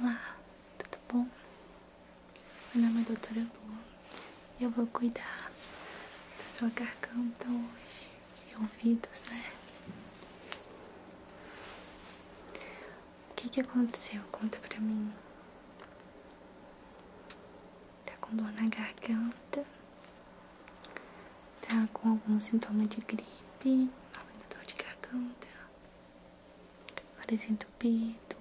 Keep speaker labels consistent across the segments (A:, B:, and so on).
A: Olá, tudo bom? Meu nome é Doutora Lua e eu vou cuidar da sua garganta hoje e ouvidos, né? O que que aconteceu? Conta pra mim. Tá com dor na garganta? tá com algum sintoma de gripe, alguma dor de garganta, nariz entupido,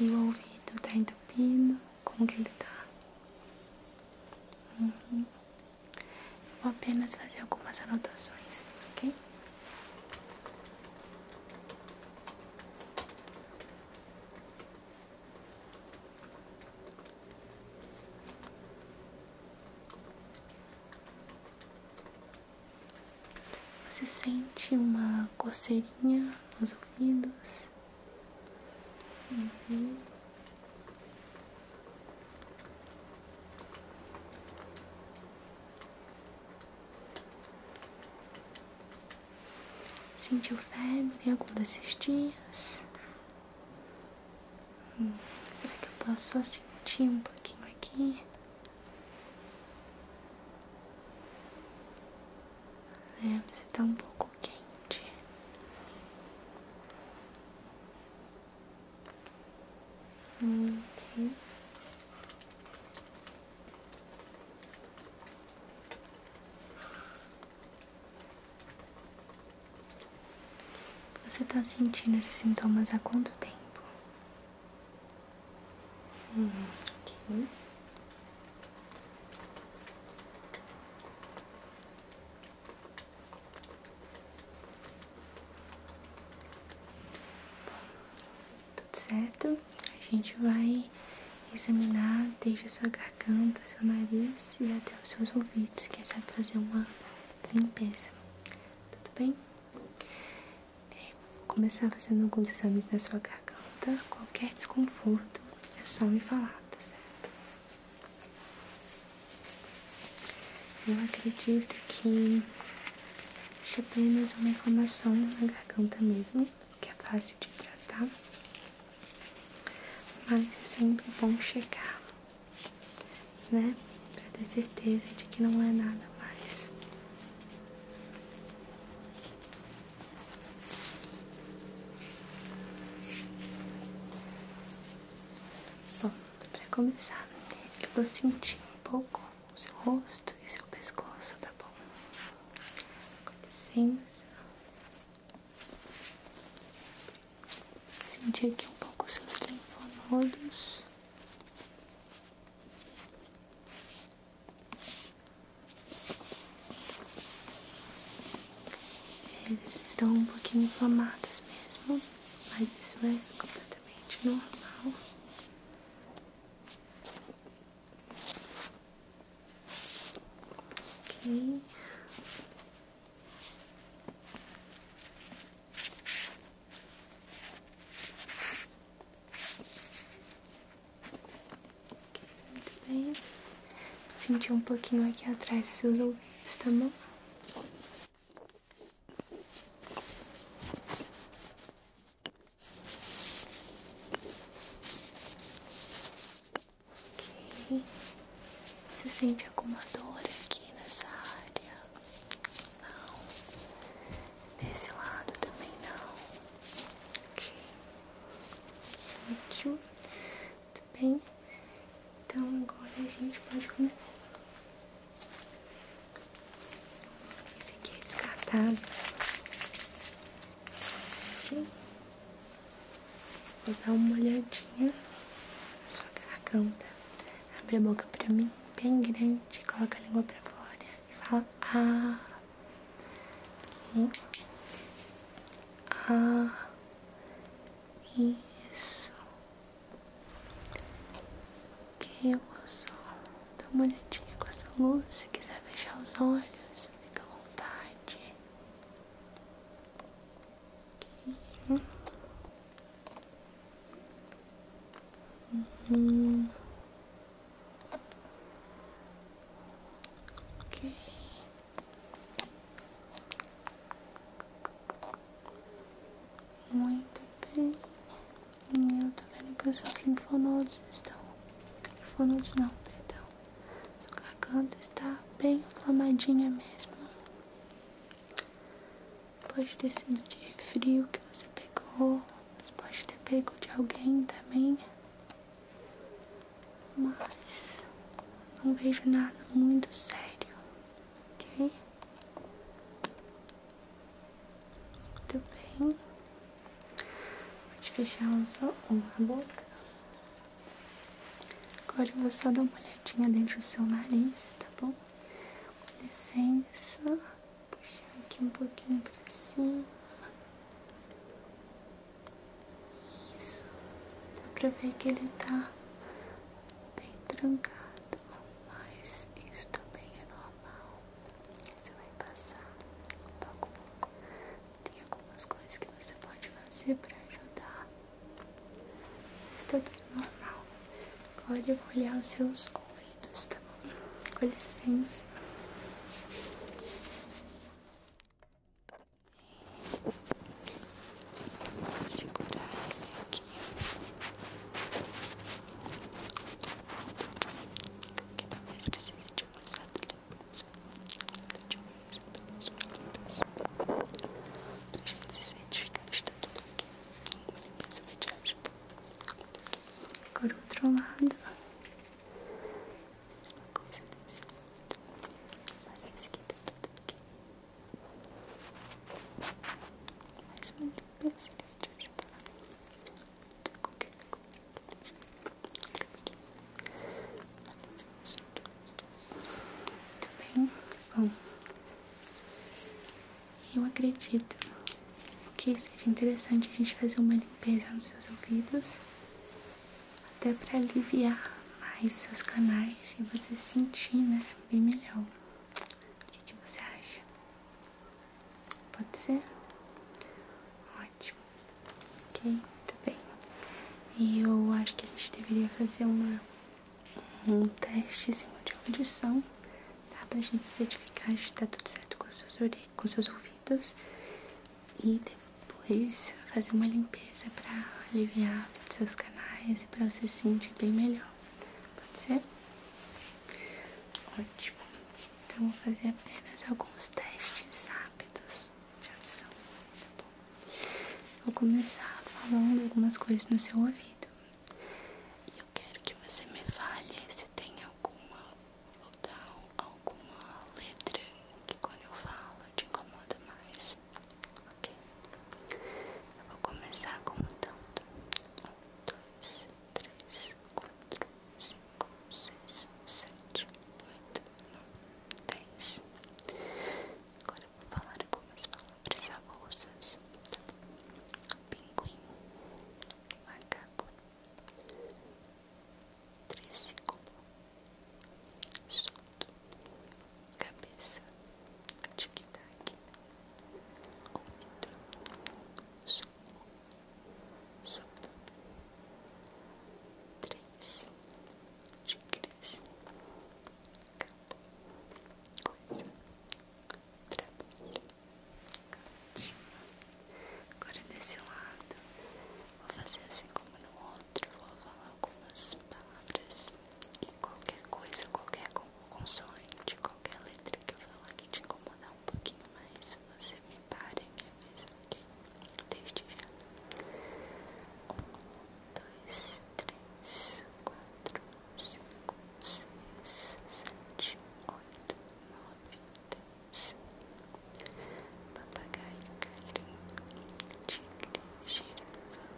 A: e o ouvido tá entupido, como que ele tá? Uhum. vou apenas fazer algumas anotações, ok? Você sente uma coceirinha nos ouvidos? Uhum. Sentiu febre em algum desses dias? será que eu posso só sentir um pouquinho aqui? É, você está um pouco quente. Hum, você está sentindo esses sintomas há quanto tempo? Hum, aqui. Tudo certo? A gente vai examinar desde a sua garganta, seu nariz e até os seus ouvidos, que é já fazer uma limpeza, tudo bem? É, vou começar fazendo alguns exames na sua garganta, qualquer desconforto é só me falar, tá certo? Eu acredito que existe apenas uma inflamação na garganta mesmo, que é fácil de tratar. Mas é sempre bom chegar, né? Pra ter certeza de que não é nada mais. Bom, pra começar, eu vou sentir um pouco o seu rosto e seu pescoço, tá bom? Com licença. Sentir aqui um pouco seus linfonodos. Eles estão um pouquinho inflamados mesmo, mas isso é completamente normal. Ok. Muito bem. Sentir um pouquinho aqui atrás dos seus ouvidos, tá bom? Ok. Você sente alguma dor aqui nessa área? Não. Nesse lado também não. Ok. Ótimo. Muito tá bem. Então agora a gente pode começar. Esse aqui é descartável. Okay. Vou dar uma olhadinha na sua garganta. Abre a boca pra mim, bem grande. Coloca a língua pra fora e fala ah. Aqui. Hum. Ah. Isso. Ok, moço. Dá uma olhadinha com essa luz. Se quiser fechar os olhos, fica à vontade. Muito bem. E eu tô vendo que os seus linfonodos estão. Linfonodos não, perdão. Sua garganta está bem inflamadinha mesmo. Pode ter sido de frio que você pegou, mas pode ter pego de alguém também. Mas não vejo nada muito sério, ok? Muito bem. Vou te fechar os olhos, a boca. Agora eu vou só dar uma olhadinha dentro do seu nariz, tá bom? Com licença, vou puxar aqui um pouquinho pra cima. Isso, dá pra ver que ele tá bem trancado, mas isso também é normal. Você vai passar logo, logo tem algumas coisas que você pode fazer pra ajudar. Mas tá tudo normal. pode eu olhar os seus ouvidos, tá bom? Com licença. Vou segurar ele aqui. Porque talvez precise de um exato a gente se certificar de tá tudo aqui. Uma limpeza vai te ajudar. Agora outro lado. Mesma coisa desse lado. Parece que tá tudo aqui. Mais uma limpeza ele vai te ajudar. Qualquer coisa. Aqui. Tá muito tá bem, bom. Eu acredito que seja interessante a gente fazer uma limpeza nos seus ouvidos, até para aliviar mais os seus canais e você sentir, né, bem melhor. O que, que você acha? Pode ser? Ótimo. Ok, muito bem. E eu acho que a gente deveria fazer uma, um teste de audição, tá? Pra gente certificar se tá tudo certo com seus, com seus ouvidos. E depois fazer uma limpeza pra aliviar seus canais e pra você se sentir bem melhor. Pode ser? Ótimo. Então, vou fazer apenas alguns testes rápidos tradução, tá bom? Vou começar falando algumas coisas no seu ouvido. E eu quero que você me fale se tem alguma vogal, alguma letra que quando eu falo te incomoda mais. Ok? Eu vou começar contando. Um, dois, três, quatro, cinco, seis, sete, oito, 10. Agora vou falar algumas palavras avulsas. Pinguim, macaco, segundos solto, cabeça, tic-tac, ouvido, sopo, sopo, três, xícaras, é acabou, coisa, trabalho, ótimo. Agora desse lado, vou fazer assim como no outro, vou falar algumas palavras e qualquer coisa, qualquer consoante, qualquer letra que eu falar que te incomodar um pouquinho mais, você me pare mas ok, desde já. Um, dois, três, quatro, cinco, seis, sete, oito, nove, dez. Papagaio, galinho, tigre, girafa,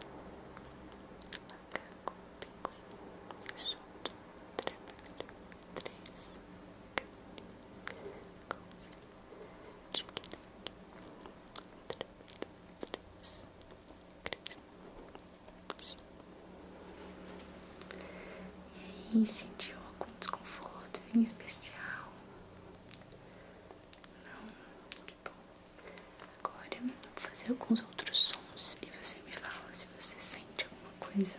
A: macaco, pinguim, solto, trabalho, três, carne, e aí, sentiu algum desconforto em especial? Não? Que bom. Agora vou fazer alguns outros sons e você me fala se você sente alguma coisa.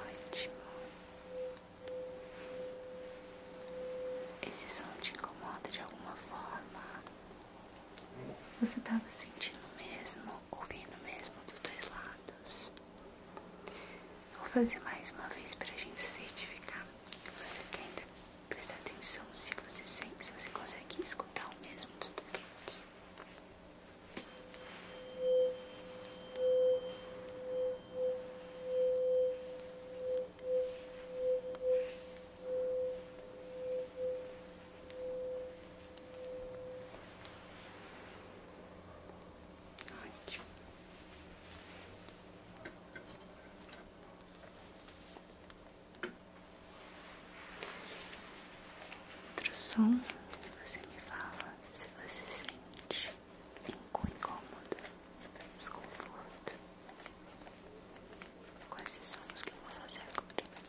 A: Ótimo. Esse som te incomoda de alguma forma? Você estava sentindo mesmo, ouvindo mesmo dos dois lados? Vou fazer mais uma vez para a gente certificar que você tenta tá? prestar atenção se você sente, se você consegue escutar o mesmo dos dois Ótimo. Pro som, você me fala se você sente algum incômodo, desconforto quais são os que eu vou fazer com agora.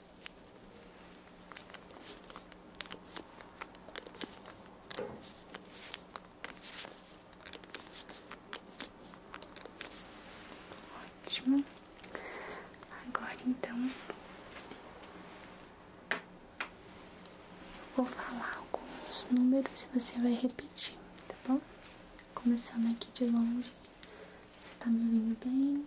A: Ótimo. Agora então eu vou falar alguns números e você vai repetir, tá bom? Começando aqui de longe. Você tá me ouvindo bem?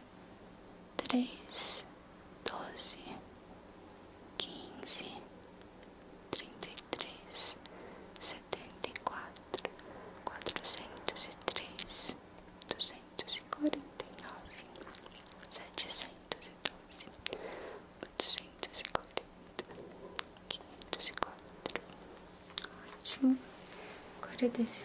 A: três, doze, quinze, trinta e três, setenta e quatro, quatrocentos e três, duzentos e quarenta e nove, setecentos e doze, oitocentos e quarenta, quinhentos e quatro. Ótimo, agora é desse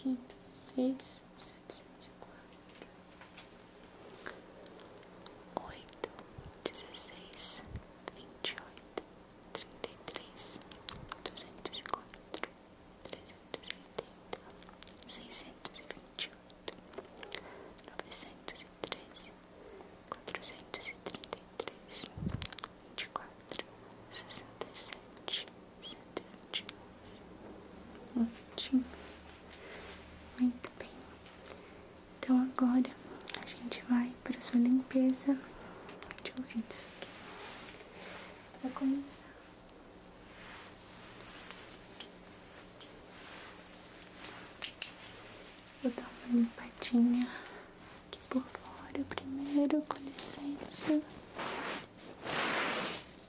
A: quinto, seis, setecentos e quatro, oito, dezesseis, vinte e oito, trinta e três, duzentos e quatro, trezentos e oitenta, seiscentos e vinte e oito, novecentos e treze, quatrocentos e trinta e três, vinte e quatro, sessenta e sete sedante. Ótimo. Muito bem. Então agora a gente vai para sua limpeza. Deixa eu ver isso aqui. Pra começar. Vou dar uma limpadinha aqui por fora primeiro, com licença.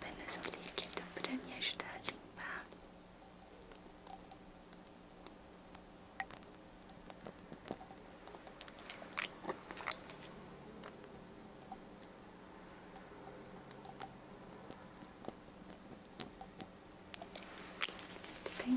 A: Apenas um líquido para me ajudar a limpar. Muito bem.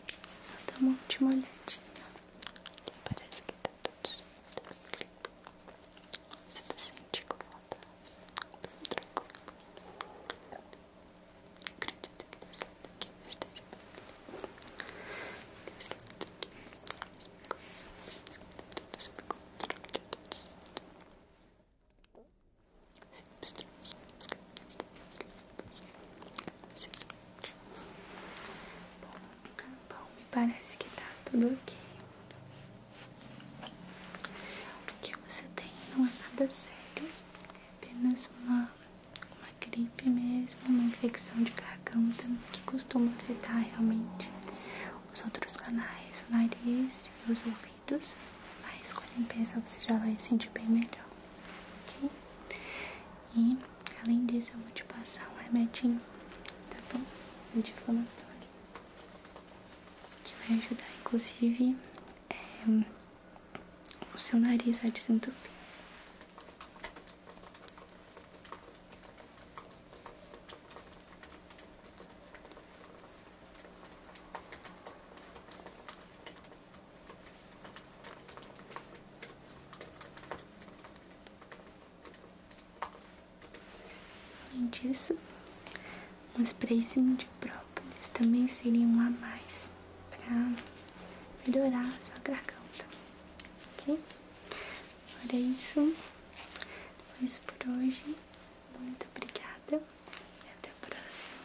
A: só dá tá uma última olhadinha. Que parece que tá tudo certo. Você tá sentindo confortável? Tudo tranquilo. Acredito que desse lado aqui não esteja bem. Desse lado aqui, a mesma coisa. Mas tá tudo sob controle de todos. Bom, me parece que tá tudo ok. O que você tem não é nada sério, é apenas uma, uma gripe mesmo, uma infecção de garganta que costuma afetar realmente os outros canais, o nariz e os ouvidos. Mas com a limpeza você já vai se sentir bem melhor. E além disso, eu vou te passar um remetinho, tá bom? Anti-inflamatório, que vai ajudar, inclusive, eh, o seu nariz a desentupir. Além disso, um sprayzinho de própolis também seria um a mais para melhorar a sua garganta, ok? Agora é isso, foi isso por hoje. Muito obrigada e até a próxima.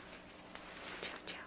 A: Tchau, tchau.